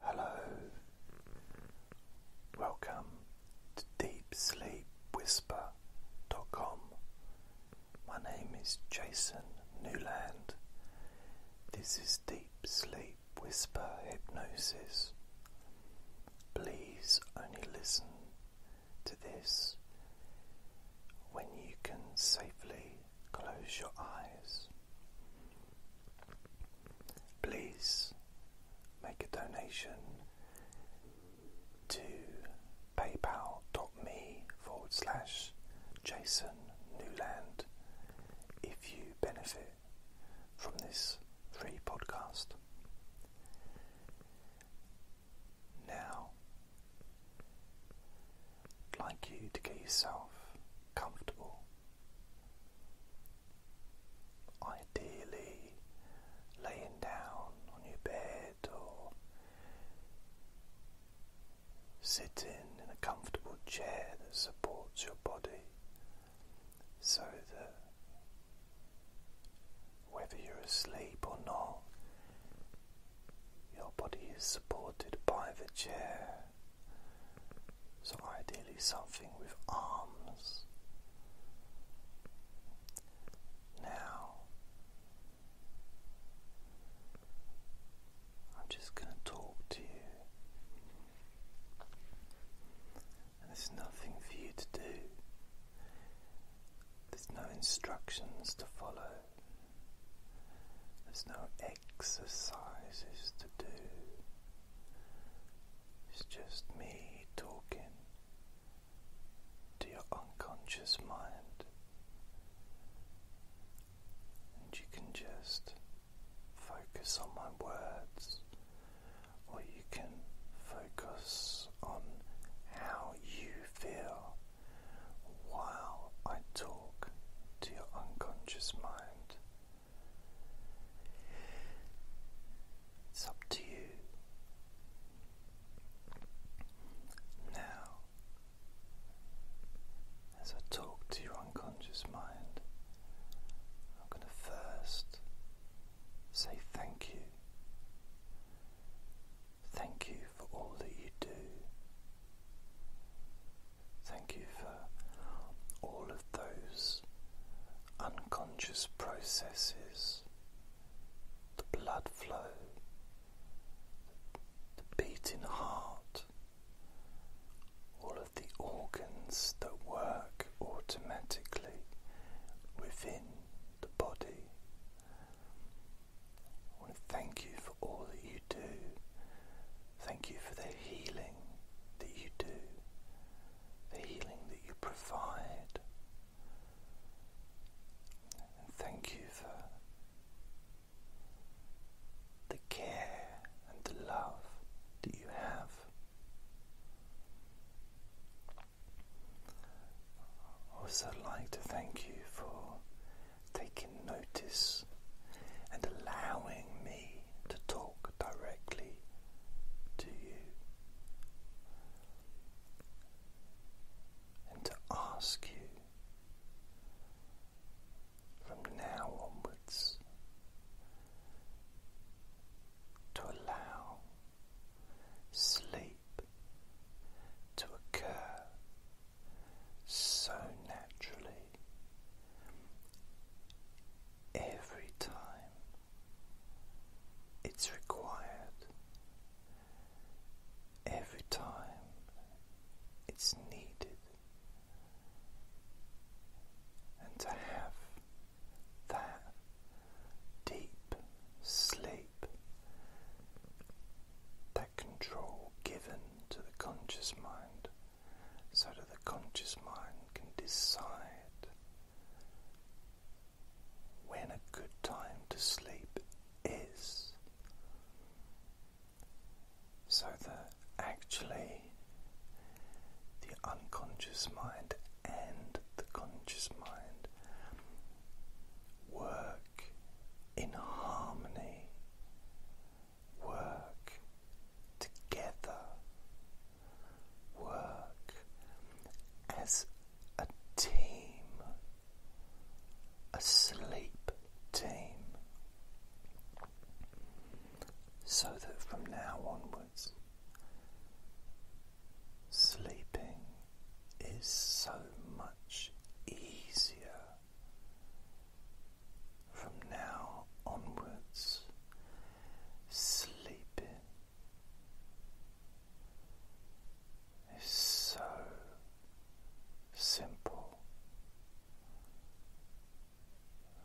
Hello, welcome to Deep Sleep Whisper. dot com. My name is Jason Newland. This is Deep Sleep Whisper Hypnosis. Please only listen to this when you can safely close your eyes. Please make a donation to paypal.me forward slash Jason Newland if you benefit from this free podcast. Now, I'd like you to get yourself comfortable. Ideally, laying down on your bed or sitting in a comfortable chair that supports your body so that whether you're asleep or not, your body is supported by the chair. So, ideally, something with arms. Now, I'm just going to talk to you. And there's nothing for you to do, there's no instructions to follow, there's no exercises to do. It's just me talking to your unconscious mind, and you can just focus on my words, or you can focus on how you feel while I talk to your unconscious mind. It's up to you. Now, as I talk to your unconscious mind, I'm going to first say thank you. Thank you for all that you do. Thank you for all of those unconscious processes, the blood flow, the beating heart, all of the organs that work automatically within the body. I thank you for all that you do Thank you for the healing that you do, the healing that you provide. And thank you for the care and the love that you have. also like to thank you for taking notice and allowing me to talk directly to you and to ask you from now onwards to allow sleep to occur so naturally every time it's required, every time it's needed, and to have that deep sleep, that control given to the conscious mind so that the conscious mind can decide when a good time to sleep is, so that actually the unconscious mind and the conscious mind work in harmony work together, work as a team, a sleep team, so that from now onwards, sleeping is so much easier from now onwards, sleeping is so simple.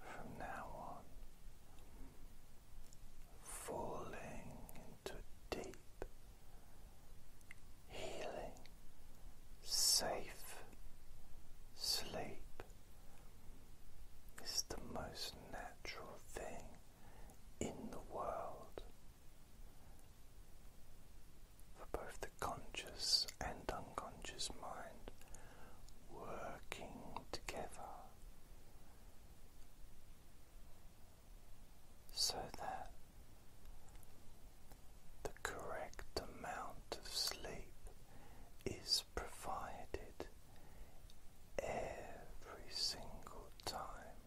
From now on, falling into deep healing safe sleep is the most natural thing in the world for both the conscious and unconscious mind working together. So that the correct amount of sleep is provided every single time.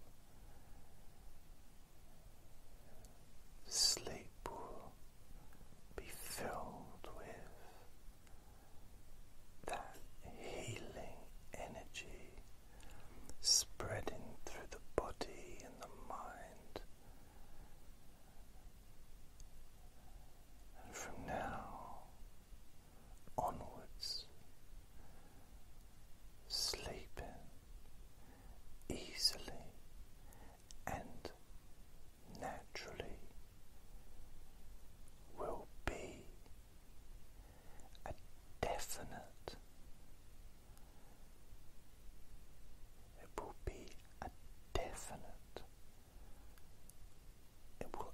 Sleep will be filled with that healing energy spreading through the body and the mind and from now onwards, sleeping easily and naturally will be a definite. It will be are definite. It will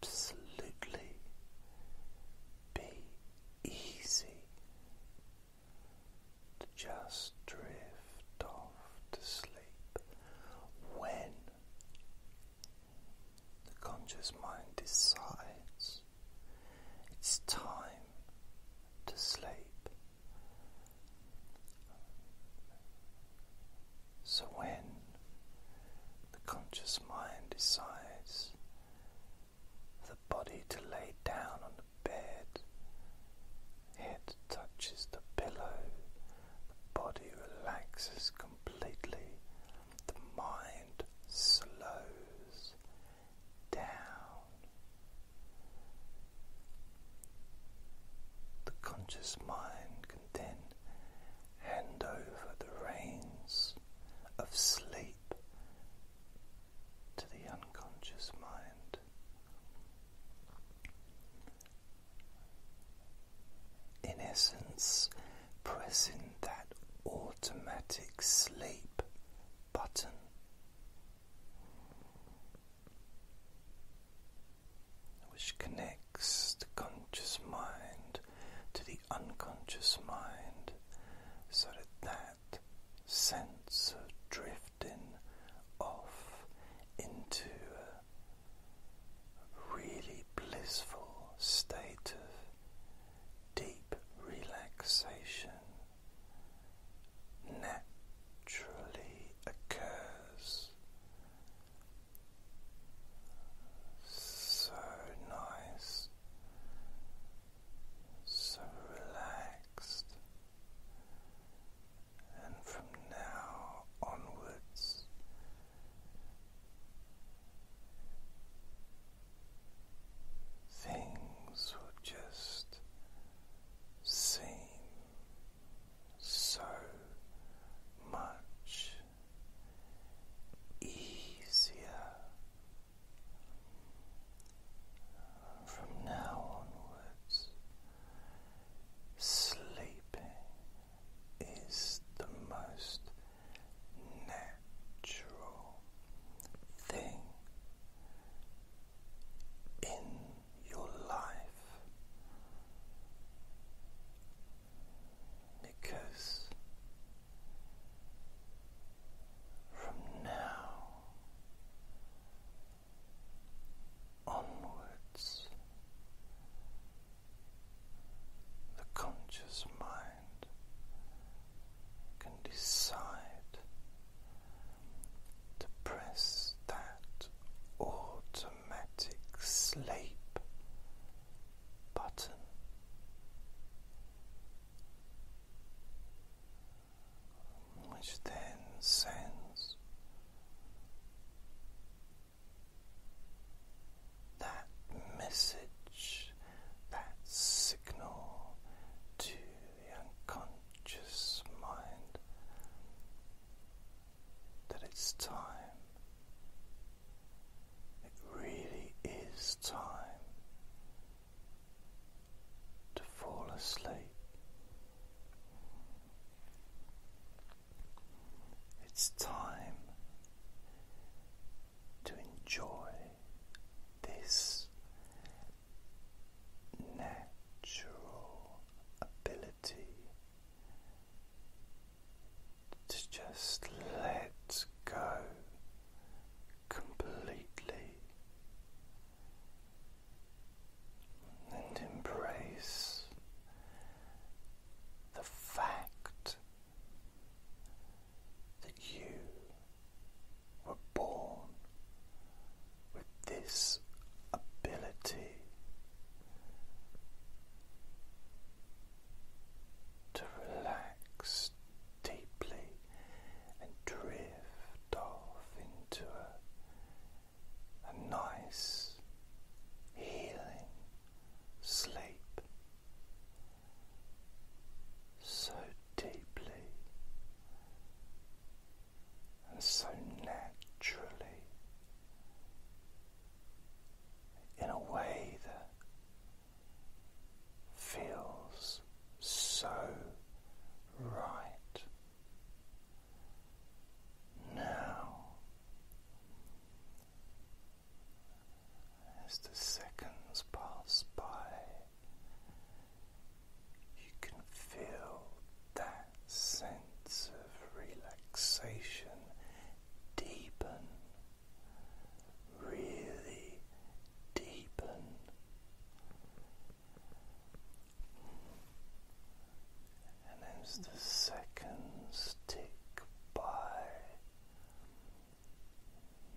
absolutely be easy to just drift off to sleep when the conscious mind decides it's time to sleep. So, when the conscious mind decides the body to lay down on the bed, head touches the pillow, the body relaxes completely, the mind slows down. The conscious mind can then hand over the reins of sleep to the unconscious mind. In essence, pressing that automatic sleep button which connects the conscious mind to the unconscious mind so that that sense of drifting off into a really blissful state of deep relaxation naturally occurs. So nice, so relaxed, and from now onwards. Things will just seem so much easier from now onwards. Sleeping is the most natural thing in your life because from now onwards the conscious mind can decide to press that automatic sleep button. Which then sends that message, that signal to the unconscious mind that it's time. It really is time to fall asleep. It's time to enjoy this natural ability to just let go completely and embrace the fact that you were born with this ability to relax deeply and drift off into a, a nice healing sleep so deeply and so naturally in a way that feels so right. Now, as the seconds pass by, you can feel that sense of relaxation deepen, really deepen. And as the seconds tick by,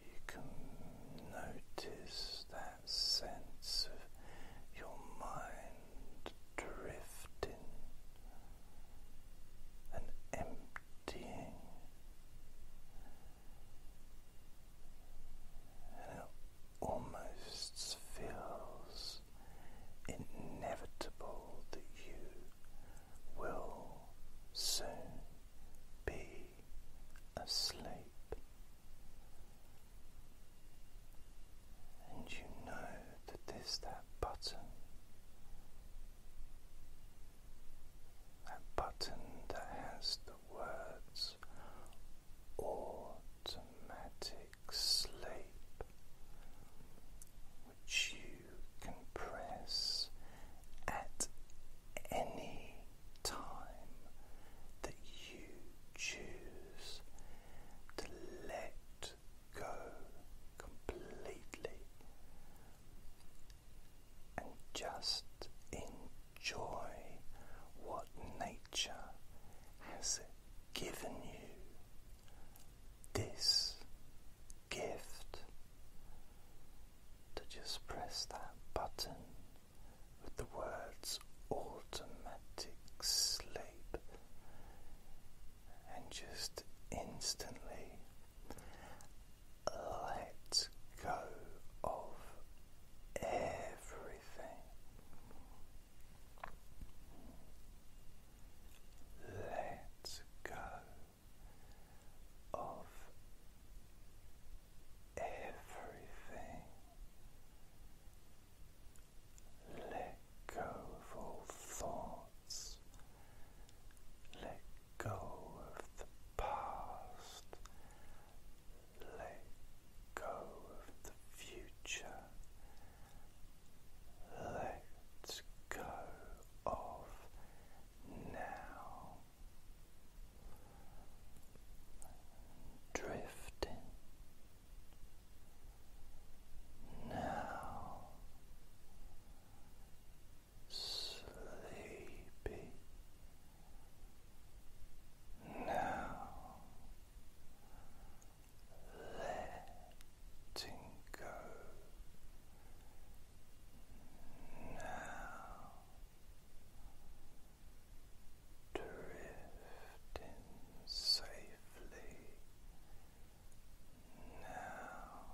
you can notice that sense of your mind drifting and emptying. And it almost feels inevitable that you will soon be asleep and you know that there's that button, that button that has the words automatic sleep, which you can press at any time that you choose to let go completely and just enjoy what nature has given you. This gift to just press that button with the words automatic sleep and just instantly let go of everything. Let go of everything. Let go of all thoughts. Let go of the past. Let go of the future. Let go of now drifting now sleepy now letting go now drifting safely now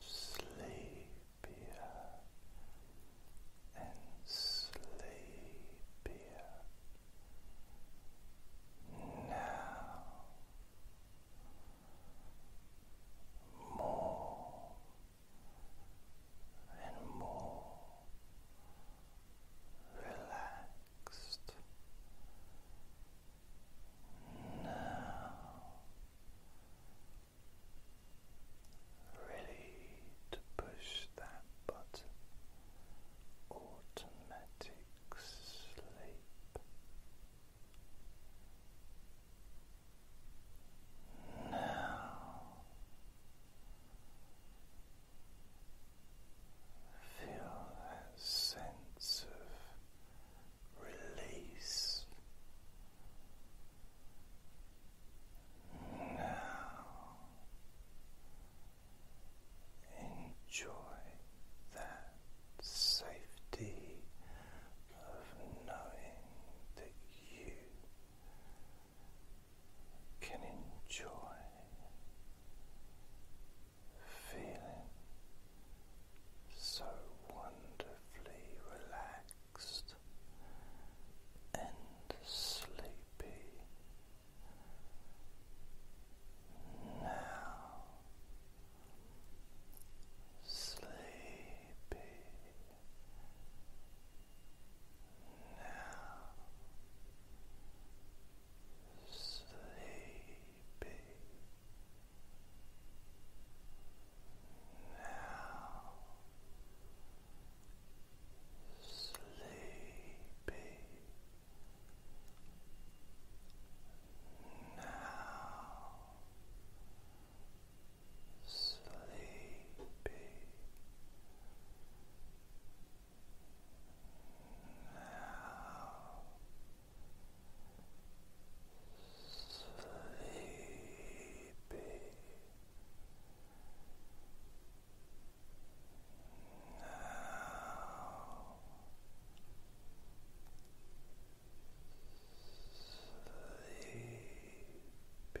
sleepier and sleepier now more and more relaxed now. Ready to push that button, automatic now feel that sense of release. Now enjoy that safety of knowing that you can enjoy feeling so wonderfully relaxed and sleepy now sleepy now sleepy. Now sleepy. Now sleepy now sleepy now sleepy. Now. Sleepy. Now